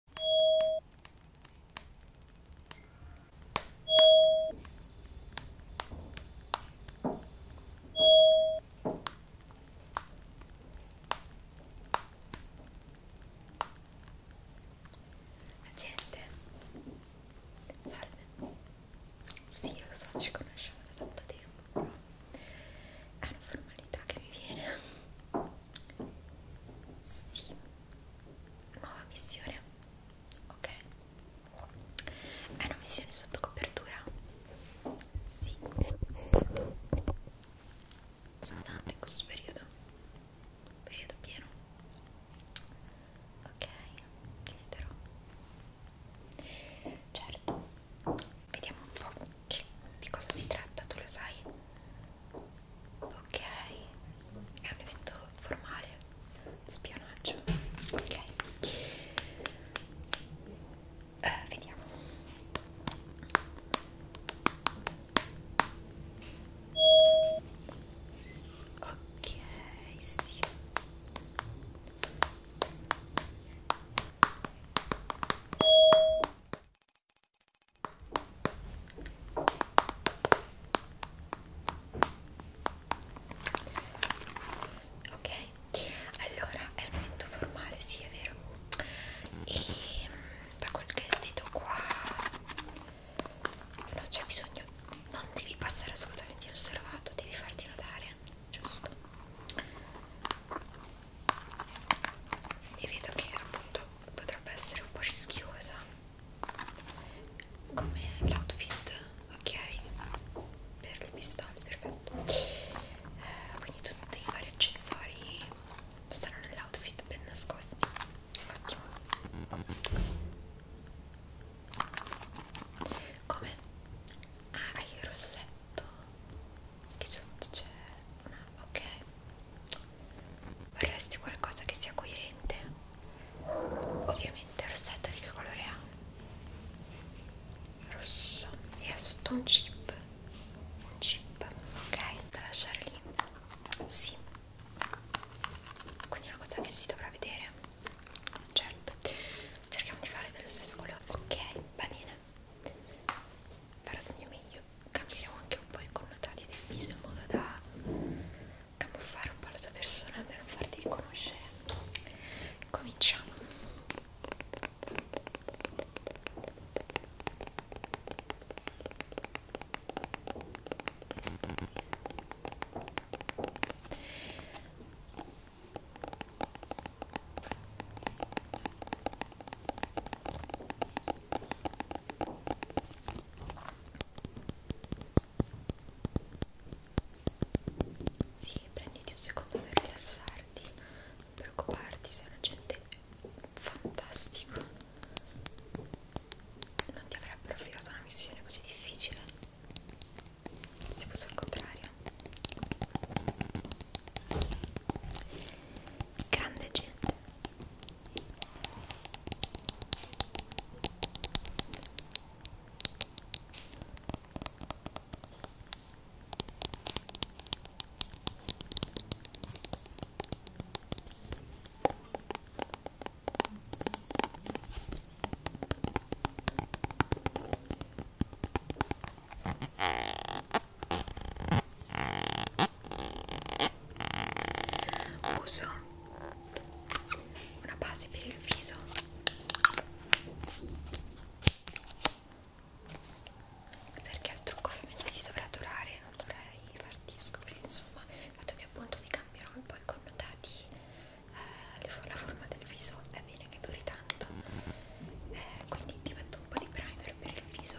La gente, salve, sì lo so ci conosciamo da tanto tempo, però è una formalità che mi viene sì, nuova missione. Ok, è una missione sotto copertura. Sì, sono tante in questo periodo. Periodo pieno. Ok, ti aiuterò. Certo, vediamo un po' che, di cosa si tratta, tu lo sai ok è un evento formale spionaggio ok eh, vediamo ok sì Ok, allora è un evento formale, sì, è vero. E da quel che vedo qua non c'è bisogno, non devi passare assolutamente inosservato, devi farti notare, giusto? E vedo che appunto potrebbe essere un po' rischiosa come l'outfit ok per le pistole perfetto eh, quindi tutti i vari accessori stanno nell'outfit ben nascosti ottimo come? ah hai il rossetto che sotto c'è ah, ok vorresti qualcosa che sia coerente ovviamente il rossetto di che colore ha? rosso e ha sotto un chip un chip ok da lasciare lì sì quindi è una cosa che si dovrà vedere certo cerchiamo di fare dello stesso colore ok va bene farò del mio meglio cambieremo anche un po' i connotati del viso in modo da camuffare un po' la tua persona da non farti riconoscere cominciamo sì, prenditi un secondo per rilassarti, non preoccuparti, sei una gente fantastica. Non ti avrebbero affidato una missione così difficile. Se fosse al contrario grande gente uso una base per il viso perché il trucco ovviamente ti dovrà durare non dovrei farti scoprire insomma dato che appunto ti cambierò un po' i connotati eh, la forma del viso è bene che duri tanto eh, quindi ti metto un po' di primer per il viso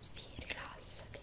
Sì, rilassati. Rilassati.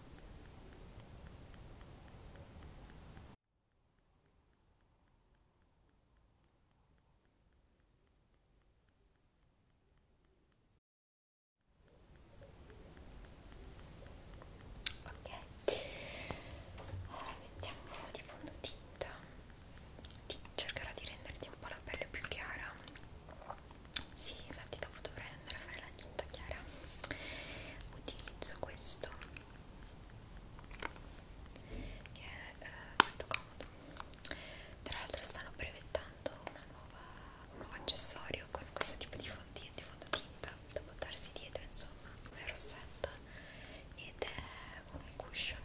Ok, allora mettiamo un po' di fondotinta, ti cercherò di renderti un po' la pelle più chiara sì, infatti dopo dovrei andare a fare la tinta chiara. Utilizzo questo che è eh, molto comodo. Tra l'altro stanno brevettando una nuova, un nuovo accessorio con questo tipo di, fondi, di fondotinta da buttarsi dietro, insomma, come rossetto ed è un cushion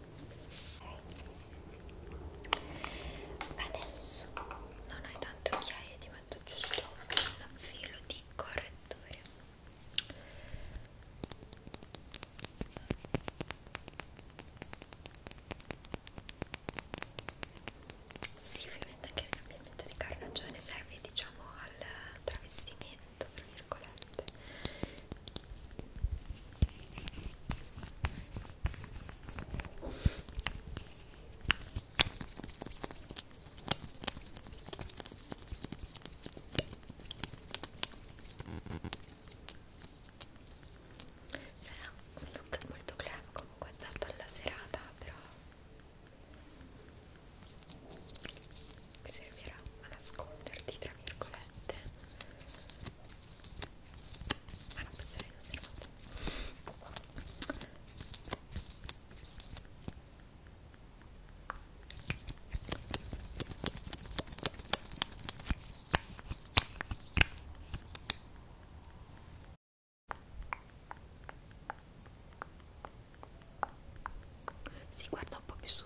adesso non hai tante occhiaie ti metto giusto un filo di correttore sì ovviamente anche il cambiamento di carnagione serve diciamo al travestimento tra virgolette Sarà un look molto clean comunque adatto alla serata, però servirà a nasconderti tra virgolette ma non passerei i nostri matti si guarda un po' più su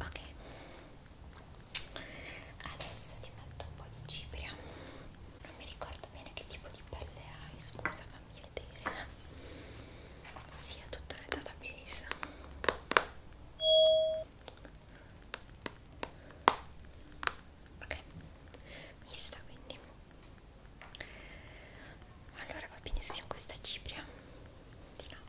ok adesso ti metto un po' di cipria non mi ricordo bene che tipo di pelle hai scusa fammi vedere si sì, è tutta la database ok mista quindi allora va benissimo questa cipria di Laura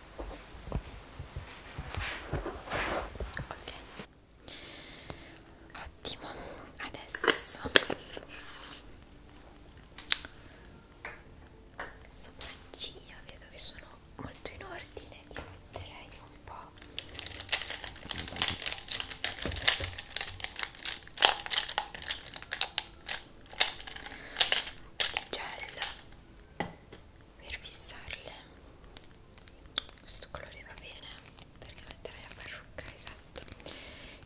ok ottimo adesso sopracciglia vedo che sono molto in ordine io metterei un po' di gel per fissarle questo colore va bene perché metterai la parrucca esatto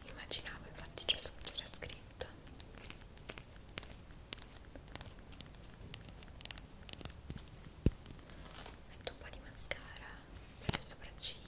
immaginavo infatti c'era scritto metto un po' di mascara per le sopracciglia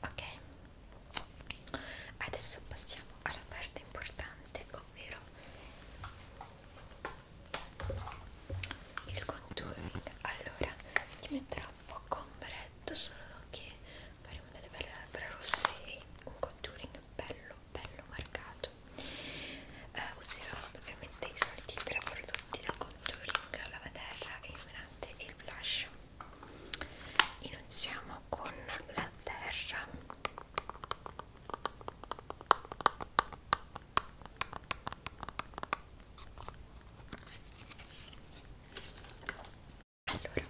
ok adesso passiamo alla parte importante ovvero il contouring allora ti metterò un po' completto solo che faremo delle belle labbra rosse e un contouring bello bello marcato uh, userò ovviamente i soliti tre prodotti del contouring la terra, il melante e il blush iniziamo con la terra allora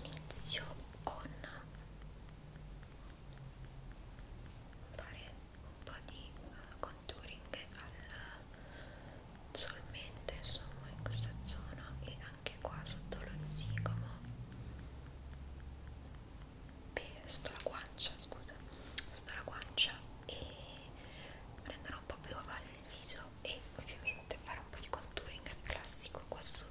inizio con fare un po' di contouring al solmente insomma in questa zona e anche qua sotto lo zigomo Beh, sotto la guancia scusa sotto la guancia e prenderò un po' più ovale il viso e ovviamente fare un po' di contouring classico qua sotto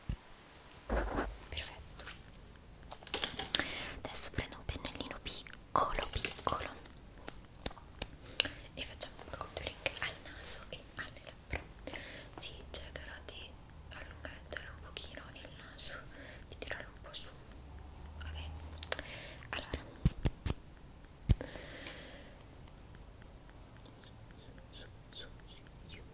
perfetto adesso prendo un pennellino piccolo piccolo e facciamo un contouring al naso e alle labbra si cercherà di allungartelo un pochino il naso di tirarlo un po' su ok allora su, su, su, su, su,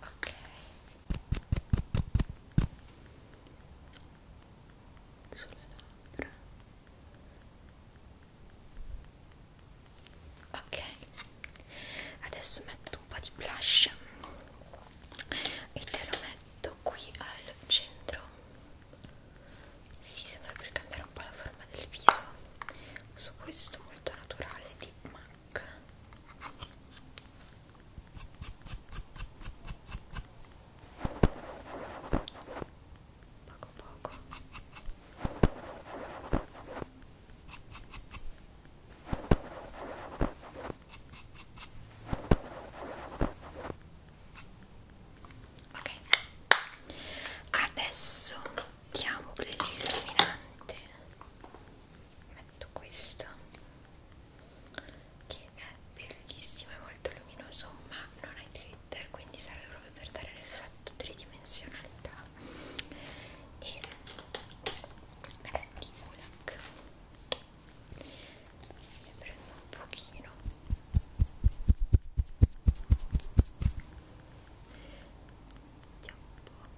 ok sulle labbra ok adesso metto un po' di blush e te lo metto qui al centro si sì, sembra per cambiare un po' la forma del viso uso questo molto naturale di MAC tac poco poco ok adesso mettiamo l'illuminante metto questo che è bellissimo e molto luminoso ma non ha glitter quindi serve proprio per dare l'effetto tridimensionalità e è di Ulak ne prendo un pochino vediamo un po'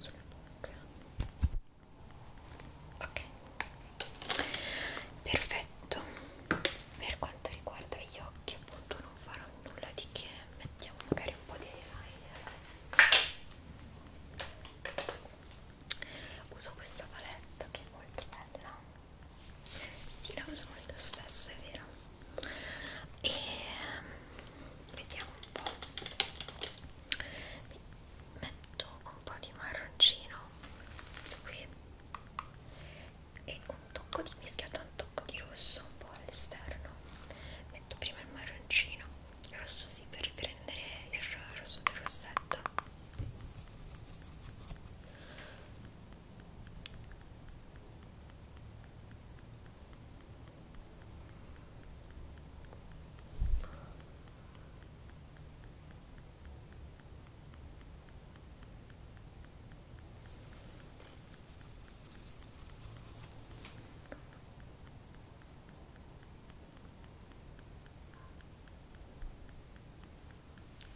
sulla bocca ok perfetto per quanto riguarda gli occhi appunto non farò nulla di che mettiamo magari un po' di eyeliner uso questa palette che è molto bella sì la uso molto spesso è vero e vediamo un po' metto un po' di marroncino qui e un tocco di mischiato un tocco di rosso un po' all'esterno metto prima il marroncino il rosso sì per riprendere il rosso del rossetto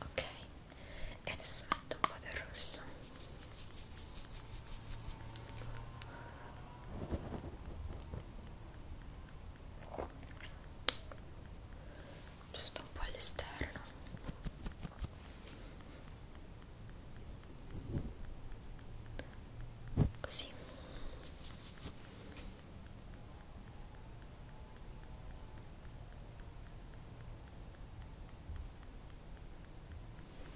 Ok, e adesso metto un po' del rosso giusto un po' all'esterno così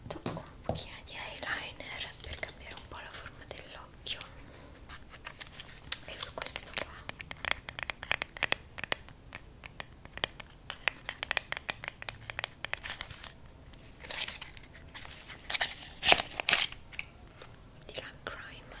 metto un pochino di eyeliner per cambiare un po' la forma dell'occhio e uso questo qua di Lang Crime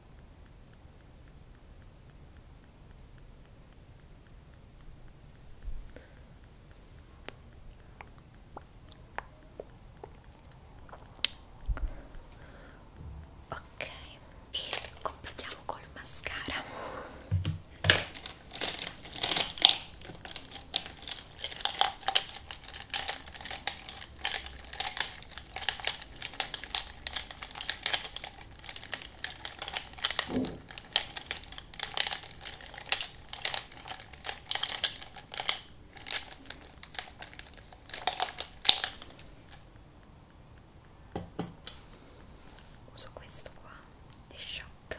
Ok, e completiamo col mascara. Uso questo qua di shock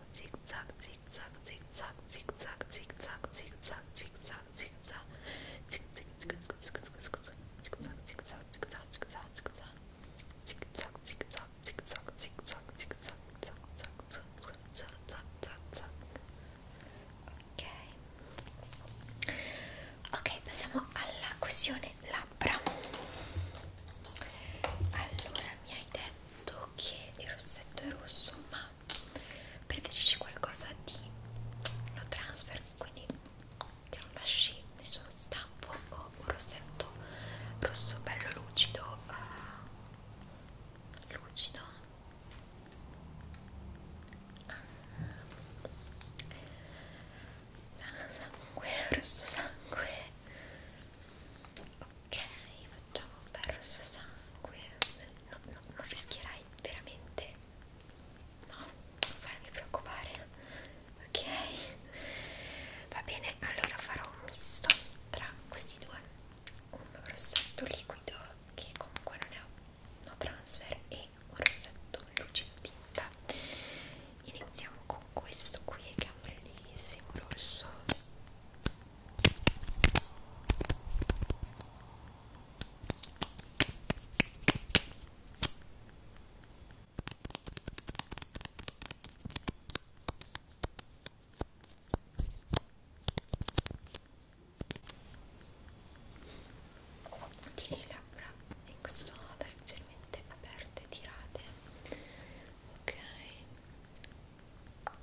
zag zig zag zig zag zig zag zig zag zig zag zig zag zig zag zig zag zig zig zig zig zig zig zag zig zag zig zag zig zag zig zag zig zag zig zag zig zag zig zag zag zag zag zag zag zag zag ok ok passiamo alla questione labbra allora mi hai detto che il rossetto è rosso ma ma preferisci qualcosa di no transfer quindi che non lasci nessuno stampo o un rossetto rosso bello lucido uh, lucido sangue rosso sangue ok facciamo un bel rosso sangue no, no, non rischierai veramente no non farmi preoccupare ok va bene allora farò un misto tra questi due un rossetto liquido che comunque non è un no transfer e un rossetto lucido tinta iniziamo con questo qui che è un bellissimo rosso Tieni le labbra in questo modo leggermente aperte, tirate, ok?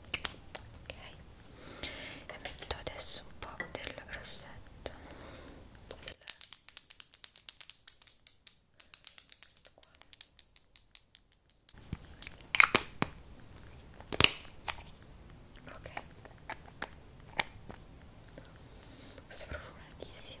ok e metto adesso un po' del rossetto del... questo qua ok questo è profumatissimo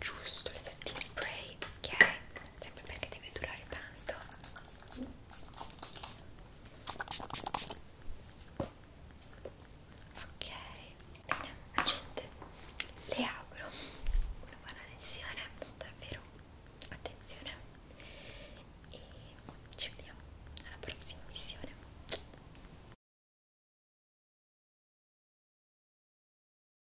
giusto il setting spray ok sempre perché deve durare tanto ok bene gente le auguro una buona lezione davvero attenzione e ci vediamo alla prossima missione